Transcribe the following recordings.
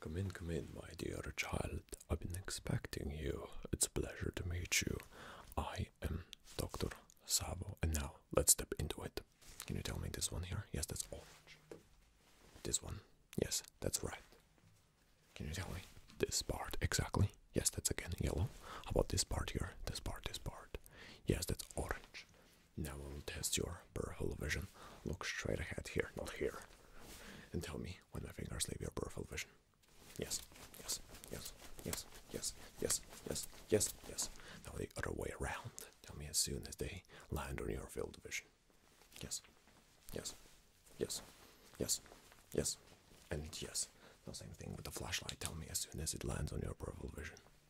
Come in, come in, my dear child. I've been expecting you. It's a pleasure to meet you. I am Dr. Savo, and now let's step into it. Can you tell me this one here? Yes, that's orange. This one? Yes, that's right. Can you tell me this part exactly? Yes, that's again yellow. How about this part here? This part, this part. Yes, that's orange. Now I will test your peripheral vision. Look straight ahead here, not here. And tell me when my fingers leave your peripheral vision. Yes, yes, yes, yes, yes, yes, yes, yes, yes. Now the other way around. Tell me as soon as they land on your field of vision. Yes, yes, yes, yes, yes, and yes. The same thing with the flashlight. Tell me as soon as it lands on your peripheral vision.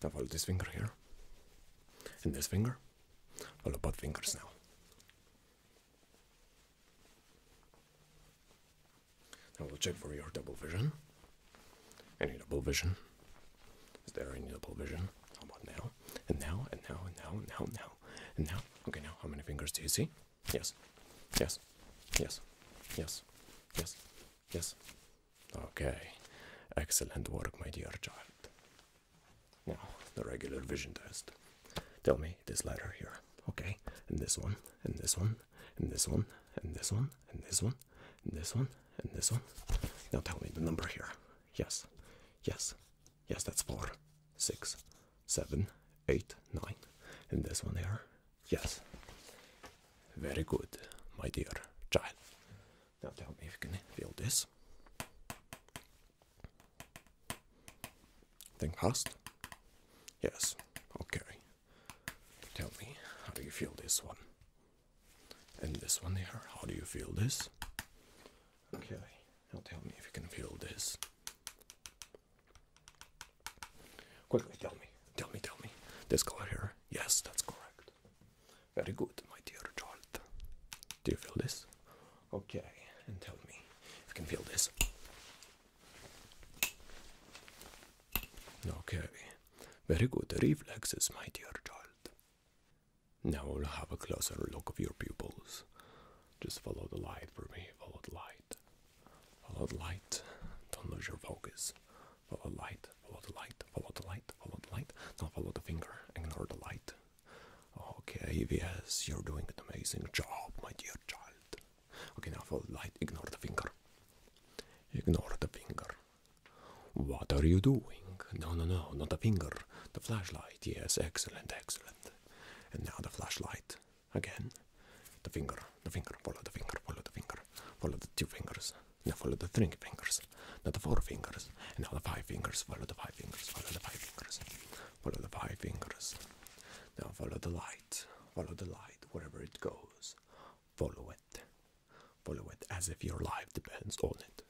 Double this finger here, and this finger. Follow both fingers now. Now we'll check for your double vision. Any double vision? Is there any double vision? How about now? And now, and now, and now, and now, and now, and now. Okay, now how many fingers do you see? Yes, yes, yes, yes, yes, yes, Okay, excellent work, my dear child. Now, the regular vision test. Tell me this letter here, okay? And this one, and this one, and this one, and this one, and this one, and this one, and this one. Now tell me the number here. Yes, yes, yes, that's four, six, seven, eight, nine. And this one here, Yes. Very good, my dear child. Now tell me if you can feel this. Thing passed. Yes. Okay. Tell me, how do you feel this one? And this one here, how do you feel this? Okay. Now tell me if you can feel this. Quickly tell me, tell me, tell me. This color here? Yes, that's correct. Very good, my dear child. Do you feel this? Okay, and tell me you can feel this. Okay, very good reflexes, my dear child. Now we'll have a closer look of your pupils. Just follow the light for me, follow the light. Follow the light. Don't lose your focus. Follow the light. Follow the light. Follow the light. Follow the light. Don't follow the finger. Ignore the light. Okay, yes, you're doing an amazing job, my dear child. Okay, now follow the light. Ignore the finger. Ignore the finger. What are you doing? No, no, no, not the finger. The flashlight. Yes, excellent, excellent. And now the flashlight. Again. The finger, the finger, follow the finger, follow the finger, follow the two fingers. Now follow the three fingers. Now the four fingers. And now the five fingers. Follow the five fingers. Follow the five fingers. Follow the five fingers. Now follow the light. Follow the light wherever it goes. Follow it. Follow it as if your life depends on it.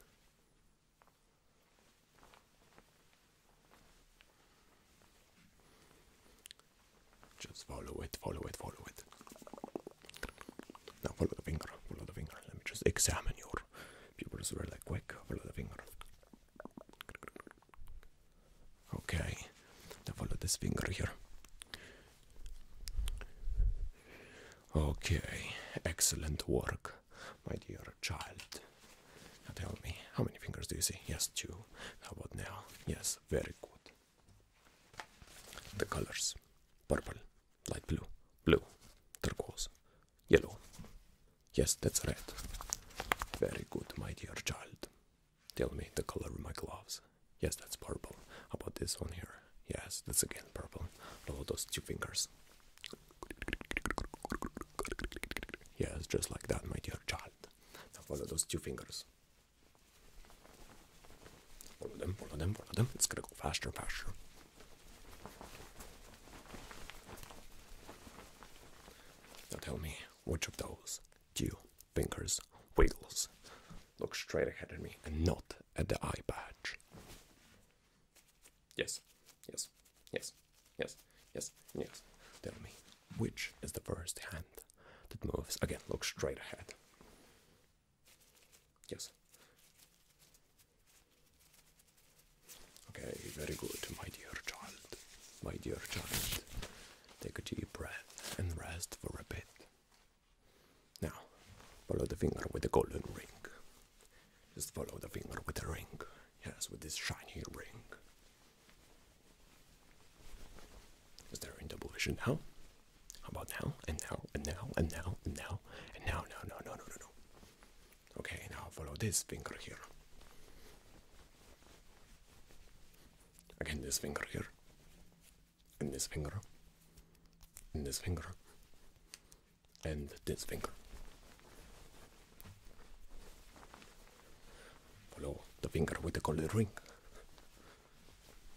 Just follow it, follow it, follow it. Now follow the finger, follow the finger. Let me just examine your pupils very quick. Follow the finger. Okay. Now follow this finger here. Okay, excellent work my dear child. Now tell me, how many fingers do you see? Yes, two. How about now? Yes, very good. The colors purple, light blue, blue, turquoise, yellow. Yes, that's red. Very good, my dear child. Tell me the color of my gloves. Yes, that's purple. How about this one here? Yes, that's again purple. How about those two fingers? Yes, just like that, my dear child. follow those two fingers. Follow them, follow them, follow them. It's gonna go faster, faster. Now tell me, which of those two fingers wiggles? Look straight ahead at me and not at the eye patch. Yes, yes, yes, yes, yes, yes. Tell me, which is the first hand that moves? Again, look straight ahead. Yes. Okay, very good, my dear child. My dear child, take a deep breath and rest for a bit. Now, follow the finger with the golden ring. Just follow the finger with the ring. Yes, with this shiny ring. Is there double vision now? How about now? And now, and now, and now, and now, and now, no, no, no, no, no, no. Okay, now follow this finger here. Again, this finger here. And this finger. And this finger and finger. Follow the finger with the colored ring.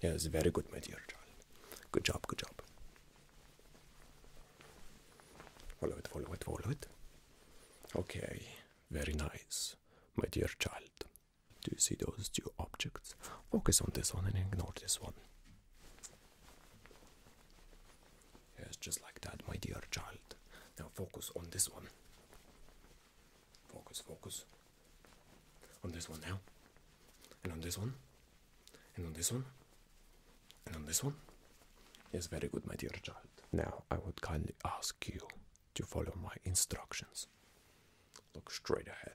Yes, very good, my dear child. Good job, good job. Follow it, follow it, follow it. Okay, very nice, my dear child. Do you see those two objects? Focus on this one and ignore this one. Yes, just like that, my dear child. Now focus on this one. Focus, focus. On this one now. And on this one. And on this one. And on this one. Yes, very good, my dear child. Now I would kindly ask you to follow my instructions. Look straight ahead.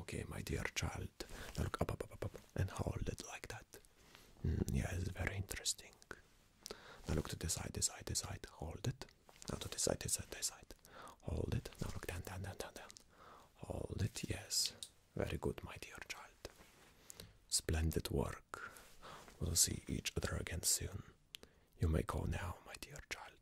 Okay, my dear child. Now look up, and hold it like that. Mm, yeah, it's very interesting. Now look to this side, this side, this side. Hold it. Now to this side, this side, this side. Hold it. Now look down, down, down, down. Hold it. Yes, very good, my dear child. Splendid work. We'll see each other again soon. You may go now, my dear child.